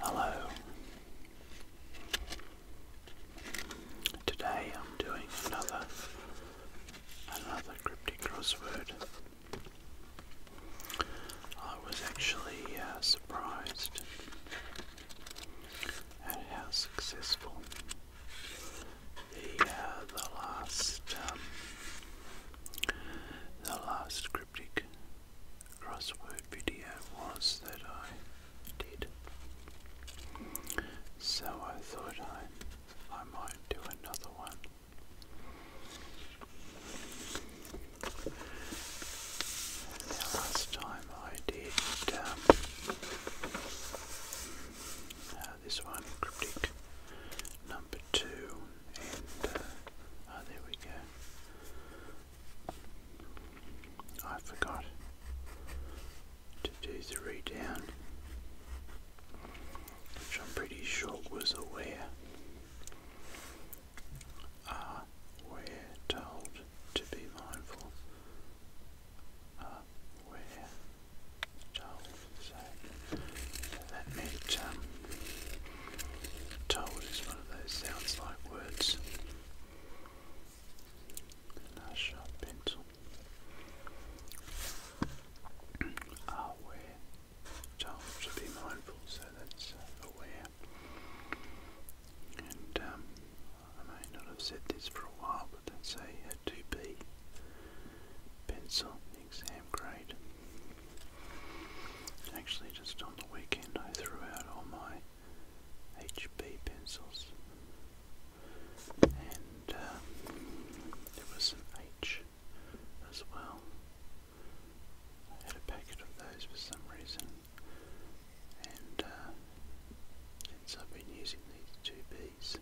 Hello. Today I'm doing another another cryptic crossword. I was actually uh, surprised at how successful the uh, the last um, the last cryptic crossword video was that I did. So I thought I, I might do another one. Now last time I did um, uh, this one, cryptic number two, and uh, oh, there we go. I forgot to do three down, which I'm pretty sure was aware. Uh, we're told to be mindful. Uh, we're told. So, that meant um, Told is one of those sounds like words. a sharp pencil. Aware. Ah, Told to be mindful, so that's uh, aware. And um, I may not have said this for a while, but that's a, a 2B pencil exam grade. Actually, just on the weekend, I threw out all my HB pencils, and um, there was an H as well. I had a packet of those for some reason, and uh, since I've been using these two Bs,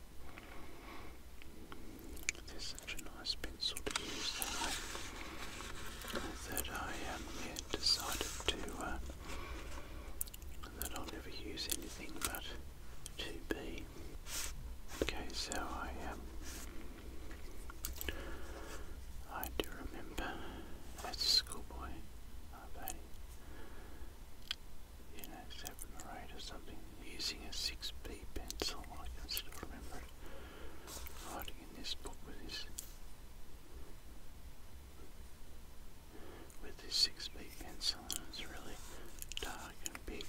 there's such a nice pencil to use that I, that I um, yeah, decided to, uh, that I'll never use anything but 2B. Okay, so I, um, I do remember as a schoolboy, I've had, you know, seven or eight or something, using a 6B pencil, I can still remember it. Writing in this book with his with his six beat pencil and it's really dark and big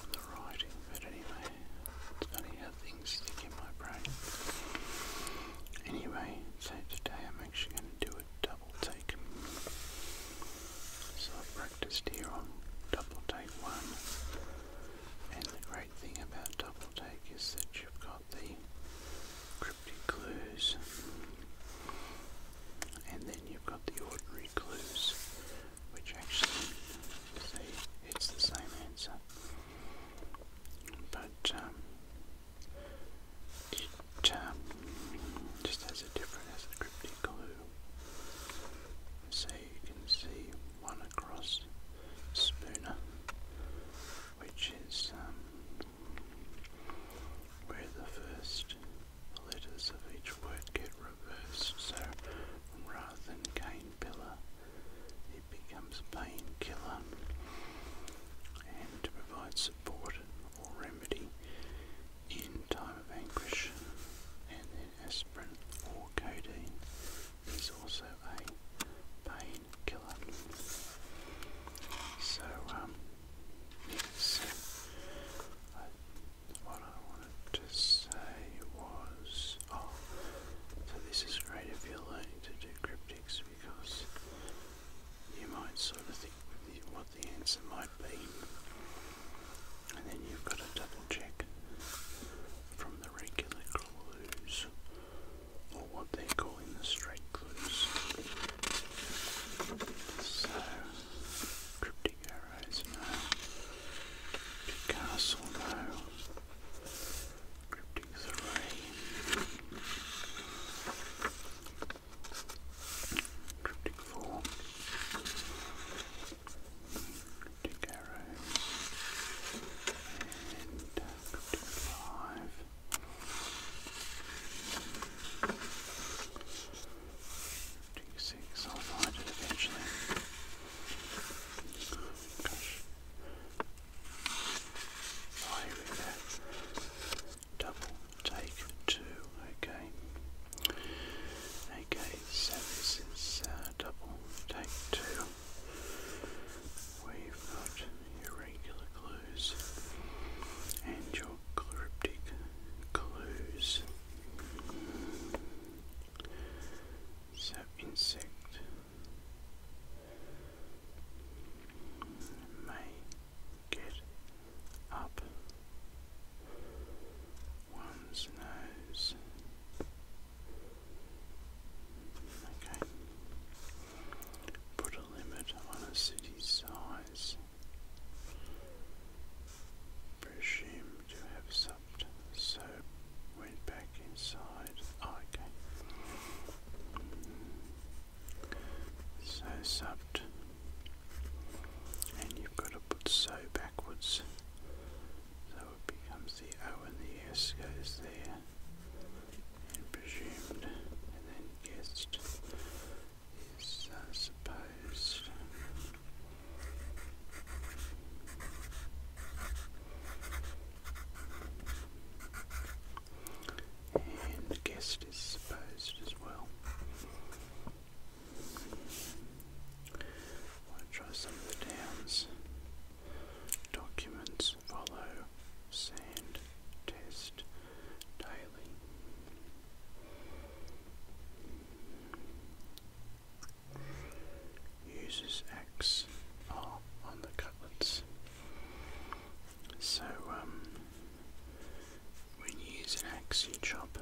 on the writing but anyway it's funny how things stick in my brain. Anyway, so today I'm actually going to do a double take. So to steer on double take one. And the great thing about double take is that you've got the cryptic clues and then you've got the ordinary clues which actually see it's the same answer. But um, um just has a different as the cryptic clue. See, you can see one across Spooner, which is um, where the first letters of each word get reversed. So rather than cane pillar, it becomes painkiller. And to provide support or remedy in time of anguish, and then aspirin or codeine is also a painkiller. So, um, what I wanted to say was, oh, so this is great if you're learning to do cryptics because you might sort of think what the answer might be and then you've got to double check from the regular clues or what they are calling the straight clues. So cryptic arrows no. Castle no. Cryptic three. Cryptic four. Cryptic Arrows and i I'll find it eventually. Gosh. Oh, here Double take two, okay. Okay, so this uh, double take two. We've got irregular clues and your cryptic clues. So insect may get up one's nose. Okay. Put a limit on a city's size. Presume to have supped, so went back inside. Ah, okay. So supped. And you've got to put so backwards. So it becomes the O and the S goes there, presumed, and then guessed is uh, supposed. And guest is supposed as well. I want try some of the dams. Documents follow sand test daily. Uses X oh, on the cutlets. So, um, when you use an axe, you chop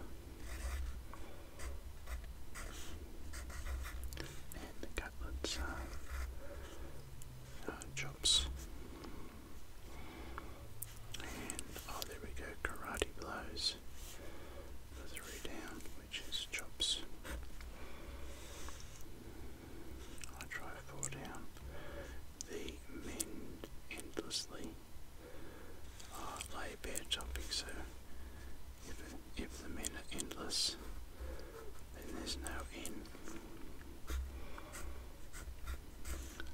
and the cutlets are uh, uh, chops. And oh, there we go, karate blows. The three down, which is chops. I try four down. The mend endlessly. Oh, I play bear chopping, so if, if the men are endless, then there's no end.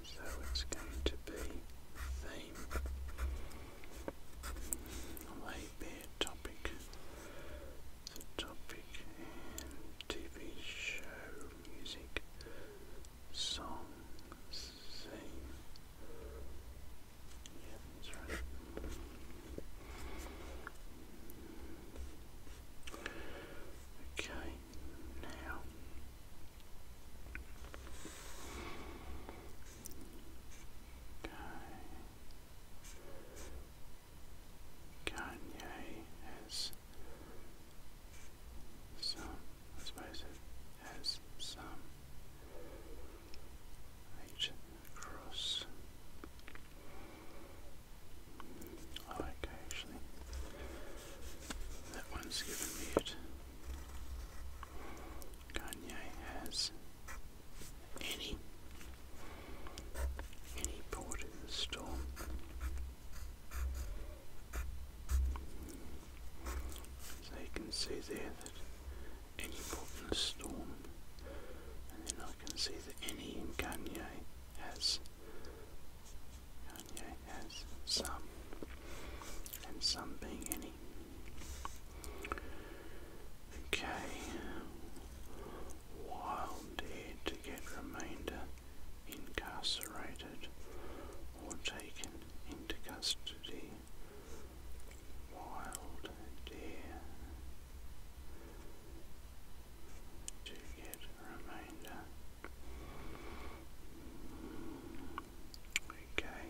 So it's going to be theme. Lay bare topic. The topic TV show music song Okay, now okay. Kanye has some I suppose it has some Right across. Oh, okay, actually. That one's given me it. Kanye has any any port in the storm. So you can see there that any brought in a storm, and then I can see that any in Kanye has Kanye has some, and some being any. Okay, while to get remainder incarcerate or taken into custody. Wild deer to get remainder. Okay.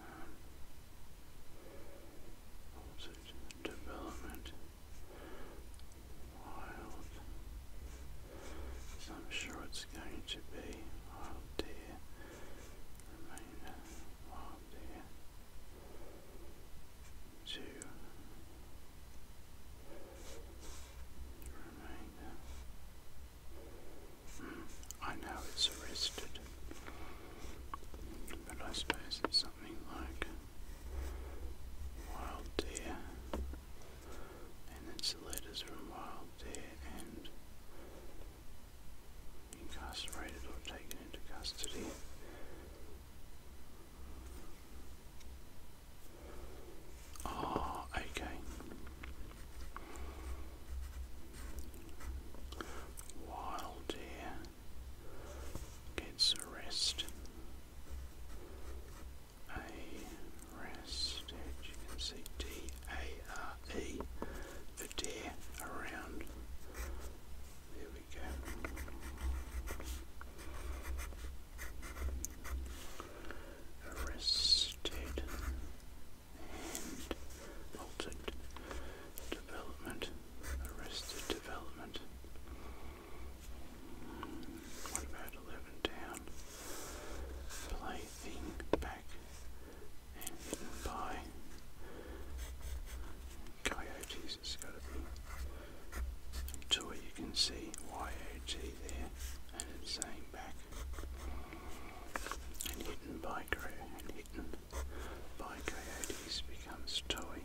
Um, development. Wild I'm sure it's going to be wild oh deer, remainder wild oh deer, two, remainder. Hmm, I know it's arrested, but I suppose something like wild deer and that's the letters from Wild Deer and incarcerated or taken into custody. Oh, okay. Wild deer gets arrested Arastage, you around. There we go. Arrested and altered development. Arrested development. What about eleven down? sliding back and eaten by coyotes. It's got to be You can see YOT there, and it's saying back and eaten by and eaten by coyotes becomes toy.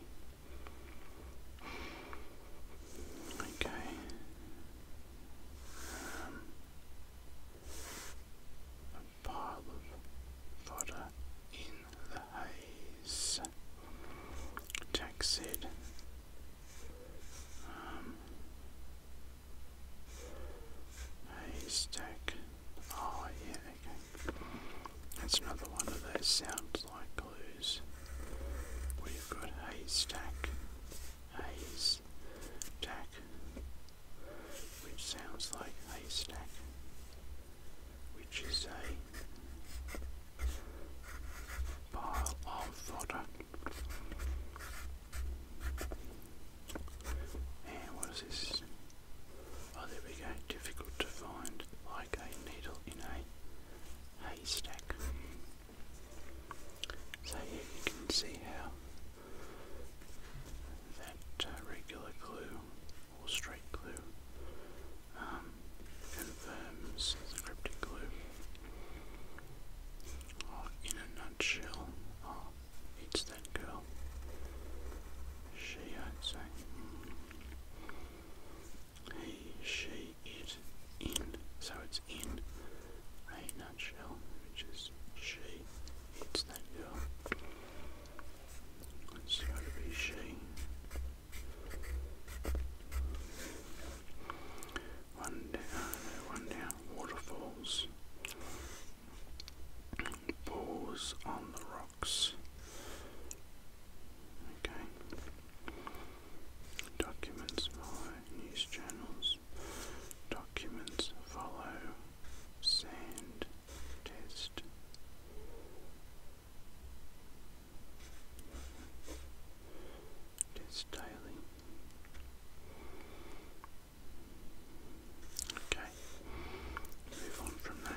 Okay, um, a pile of fodder in the haze. haystack. Oh yeah, That's another one of those sounds like clues those. We've got haystack, haze, which sounds like haystack, which is a pile of fodder. And what is this? Oh, there we go. Difficult to find, like a needle in a haystack. So here you can see how that uh, regular glue or straight glue um, confirms the cryptic glue. Oh, in a nutshell, oh, it's that girl. She, I'd he, she, it, in. So it's in a nutshell, which is she. It's that girl. It's got to be she. One down, one down. Waterfalls. Balls on the rocks. Okay. Documents follow news channels. Documents follow sand test. Test daily. Okay, move on from that.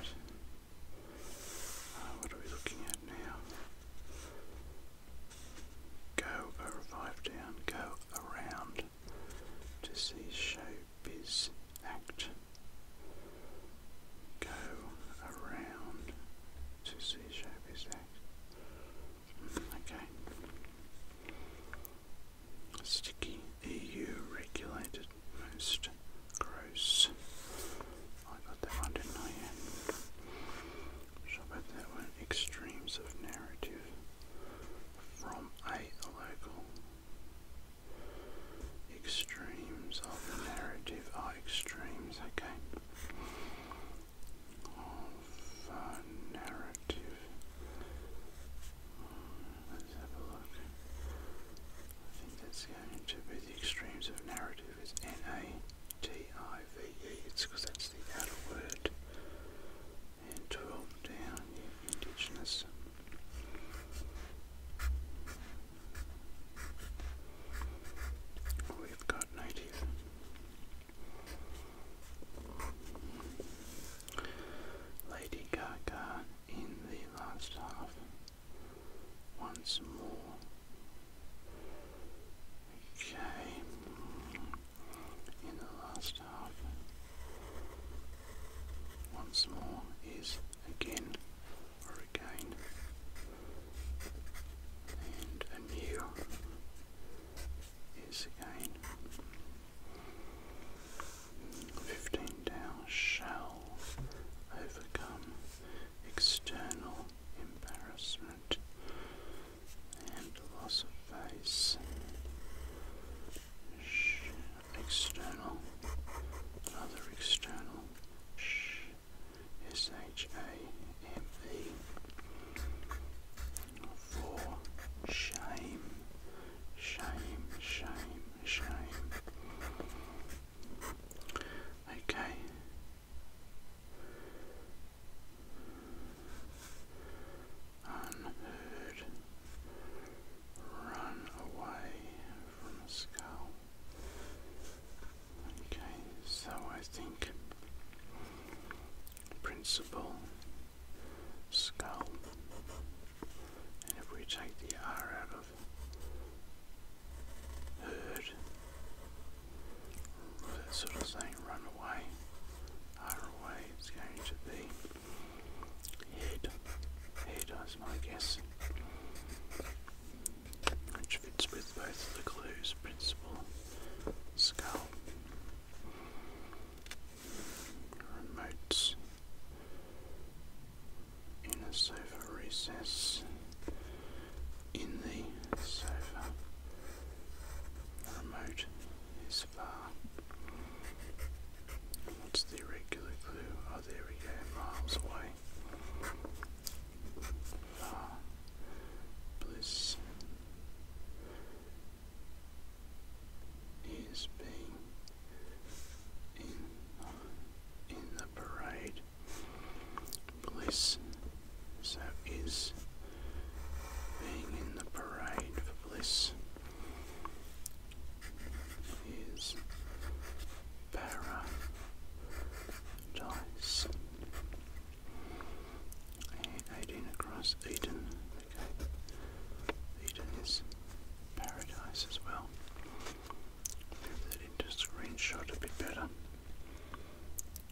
Uh, what are we looking at now? go a down, go around to see showbiz act. Go around to see showbiz act. Mm, okay. Sticky EU regulated most gross I got that one, didn't that one, extremes of narrative from a local. Extremes of narrative are extremes, okay. Of uh, narrative. Let's have a look. I think that's going to be the extremes of narrative is NA. T-I-V-E, it's because that's the outer word. And 12 down, yeah, Indigenous. We've got native. Lady Gaga in the last half once more. Okay, in the last half, once more is again or again, and anew is again. Fifteen down shall overcome external embarrassment and loss of face, external, another external, Sh S H A M E, for shame, shame, shame, shame. Okay, Unheard, run away from a skull. Okay, so I think principle skull, and if we take the R out of heard that sort of saying run away, other way it's going to be head, head is my guess, which fits with both the clues principle, skull, remotes, in a sofa recess, in the sofa. remote is far. What's the regular clue? Oh, there we go, miles away. Far. Bliss is being in in the parade Bliss. So is being in the parade for bliss. Is paradise. Eighteen across Eden. Okay. Eden is paradise as well move that into screenshot a bit better.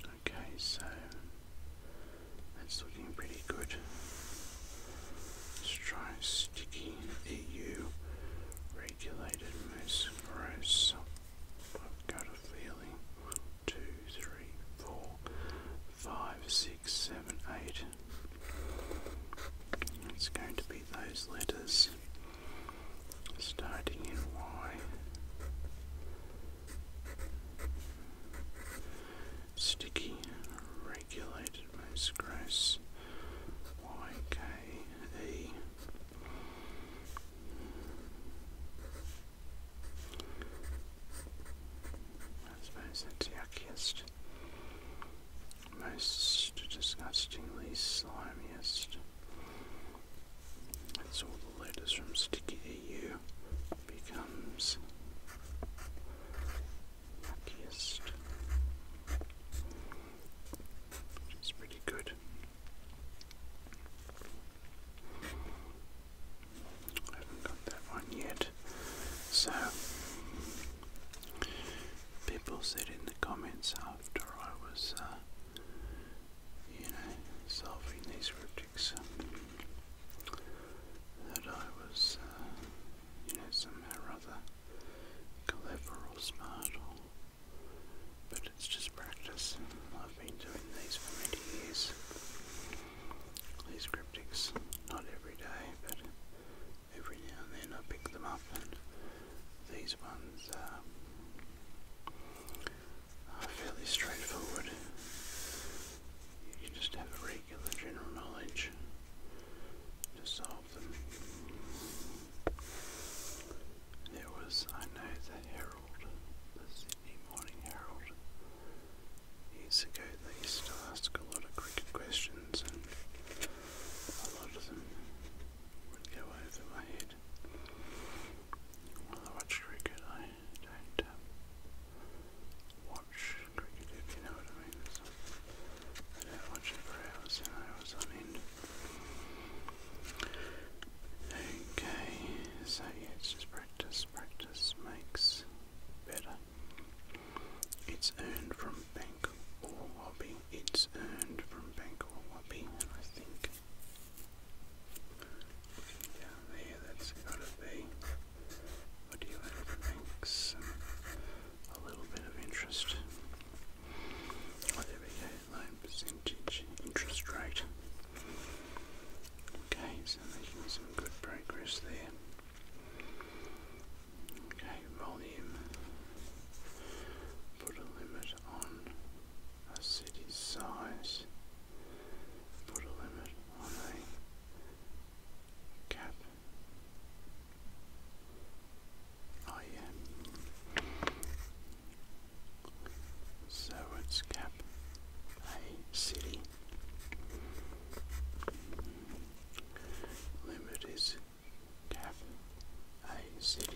Okay, so that's looking pretty good. Let's try sticky EU regulated moose gross. I've got a feeling one, two, three, four, five, six, seven, eight. It's going to be those letters starting in Y, sticky, regulated most gross, YKE. I suppose that's yuckiest, most disgustingly slimiest. So the letters from Sticky to you becomes luckiest. Which pretty good. I haven't got that one yet. So people said in the comments after I was, uh, you know, solving these cryptics, um, that I was, uh, you know, somehow or other clever or smart or. But it's just practice. I've been doing these for many years. These cryptics, not every day, but every now and then I pick them up and these ones um, are fairly straightforward. You can just have regular general knowledge to solve them. There was, I know, the Herald, the Sydney Morning Herald. Years ago, they used to ask a lot of cricket questions, and a lot them I watch cricket, I don't um, watch cricket, if you know what I mean. I don't watch it for hours and hours on Okay, so yeah, it's just practice. Practice makes better. It's earned from being bank it's earned from bank or hobby, and I think looking there, that's gotta be what do you earn from banks? Um, a little bit of interest. there we go, loan percentage, interest rate. Okay, so making some good progress there. Okay, volume. Put a limit on a city's size. Put a limit on a cap. Oh yeah. So it's cap a city. Limit is cap city.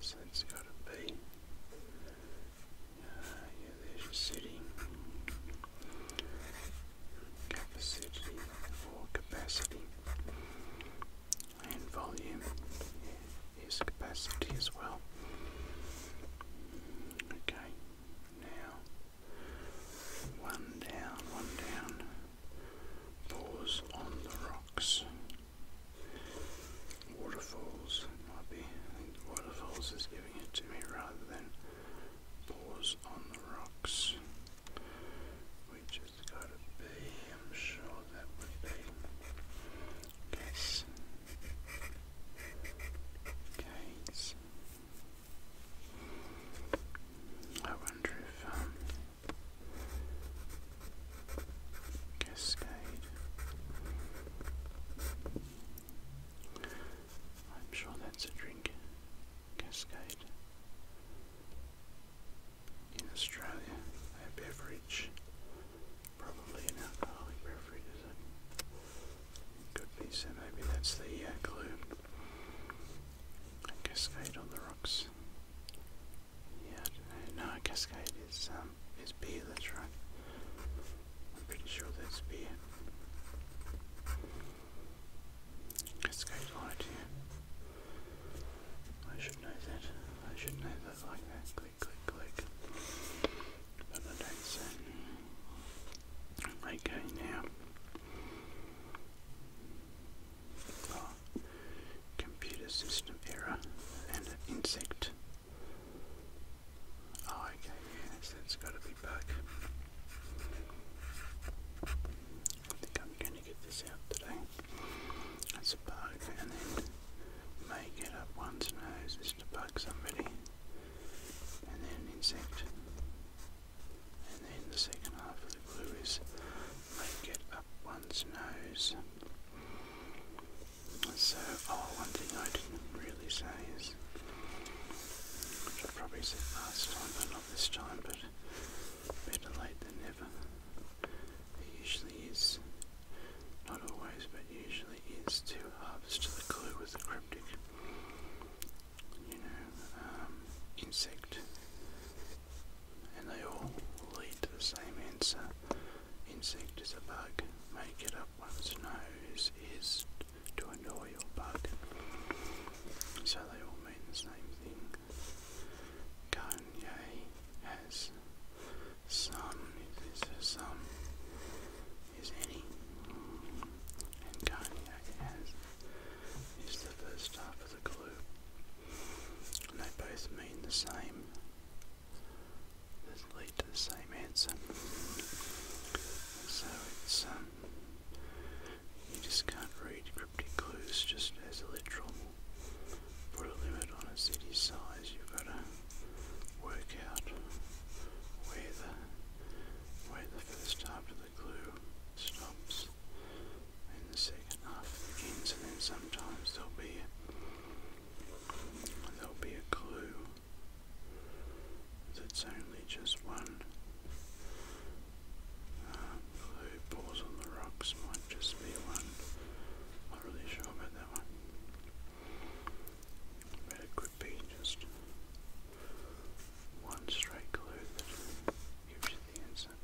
So it's got to be. yeah, there's your city. Capacity or capacity. And volume is capacity as well. Okay, now one down, one down. Pause on the rocks. Waterfalls might be. waterfalls is giving it to me rather than pause on the rocks, which is got to be. I'm sure that would be. Guess. Gaze. I wonder if um, Cascade. I'm sure that's a drink. Cascade. In Australia, a beverage. Probably an alcoholic beverage, Could be, so maybe that's the uh, clue. cascade on the rocks is yeah, no Cascade is um is beer, that's right. I'm pretty sure that's beer. Cascade light I should know that. I should know that like that. Click click click. Okay now computer system error and an insect. Oh, okay, yes, that's got to be bug. I think I'm going to get this out today. That's a bug, and then make it up one's nose is to bug somebody, and then an insect and then the second half of the clue is make it up one's nose. So, oh, one thing I didn't really say is, which I probably said last time, but not this time, but better late than never. It usually is, not always, but usually is to harvest the clue with the cryptic you um, know, insect, and they all lead to the same answer. Insect is a bug. Make it up one's nose is to annoy your bug. So they all mean the same thing. Kanye has some, some, is any, and Kanye has is the first half of the clue. And they both mean the same. They lead to the same answer. So it's um, you just can't read cryptic clues just as literal. Put a limit on a city size, you've got to work out where the the first half of the glue stops in the second half begins and then sometimes there'll be there'll be a glue that's only just one um, glue on the rocks might just be one. not really sure about that one. But it could be just one straight glue that gives you the answer.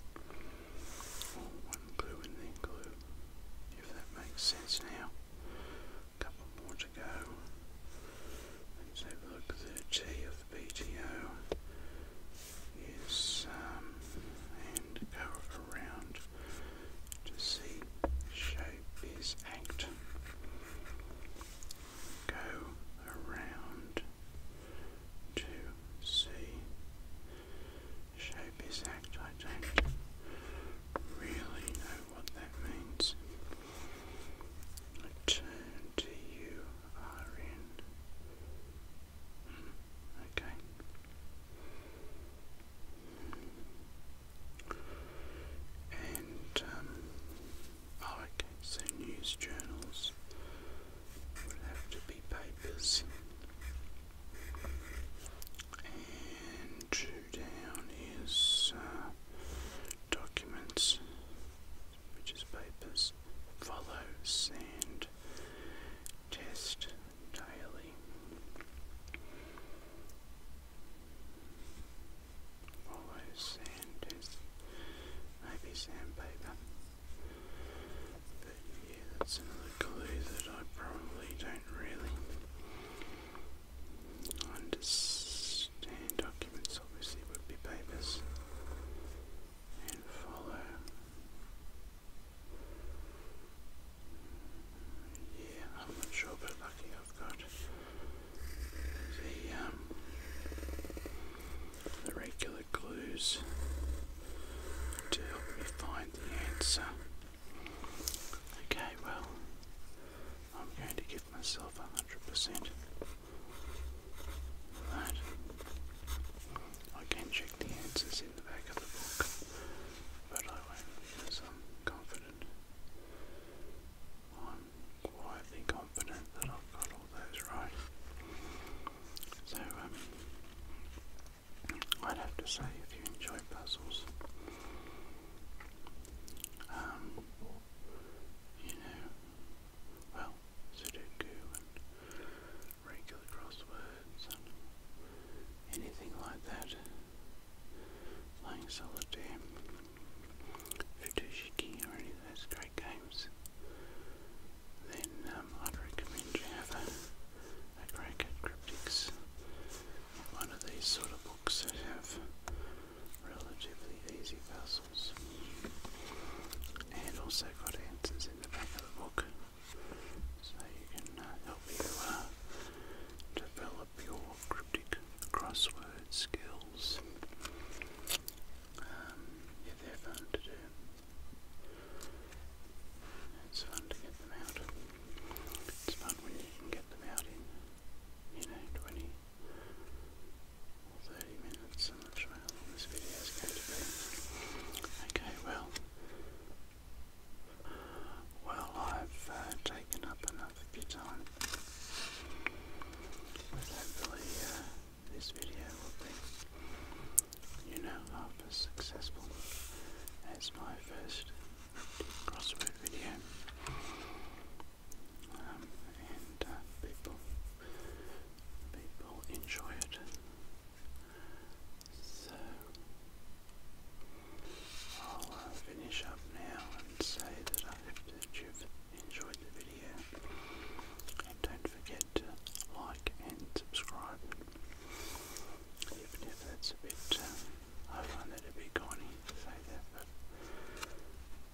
Or one glue and then glue, if that makes sense now. A couple more to go. Let's have a look. at The T of BTO is um, and go around to see shape is act go around to see. Shape is act, I don't really know what that means. Return uh, you hmm, okay. And um, Oh, okay, so news journals would have to be papers. And two down is uh, documents, which is papers. Follow, sand, test, daily. Follow sand maybe sandpaper. But yeah, that's another clue that I probably don't really understand. Documents obviously would be papers. And follow. Yeah, I'm not sure, but lucky I've got um, the regular clues to help me find the answer. Okay, well, I'm going to give myself a hundred percent. That I can check the answers in the back of the book, but I won't I'm confident quietly confident that I've got all those right. So, um, I'd have to say if you enjoy puzzles, um, you know, well, Sudoku and regular crosswords and anything like that, playing solitaire, Futushiki or any of those great games, then um, I'd recommend you have a, a crack at Cryptics, one of these sort of books that have relatively easy puzzles and also got answers in the back of the book so you can uh, help you uh, develop your cryptic crossword skills um, fun to do. It's fun to get them out. It's fun when you can get them out in, you know, 20 or 30 minutes. I'm sure this video is going to be. Okay, well, well, I've uh, taken up enough off if you tell hopefully this video will be, you know, as successful as my first crossword video. Um, and uh, people, people enjoy it. So I'll uh, finish up now and say that I hope that you've enjoyed the video video. don't forget to like and subscribe. Even if that's a bit, um, I find that a bit corny to say that, but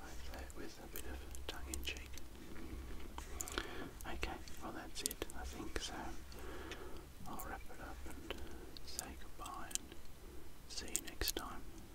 I say it with a bit of tongue in cheek. Okay, well that's it, I think so. I'll wrap it up and say goodbye see you next time.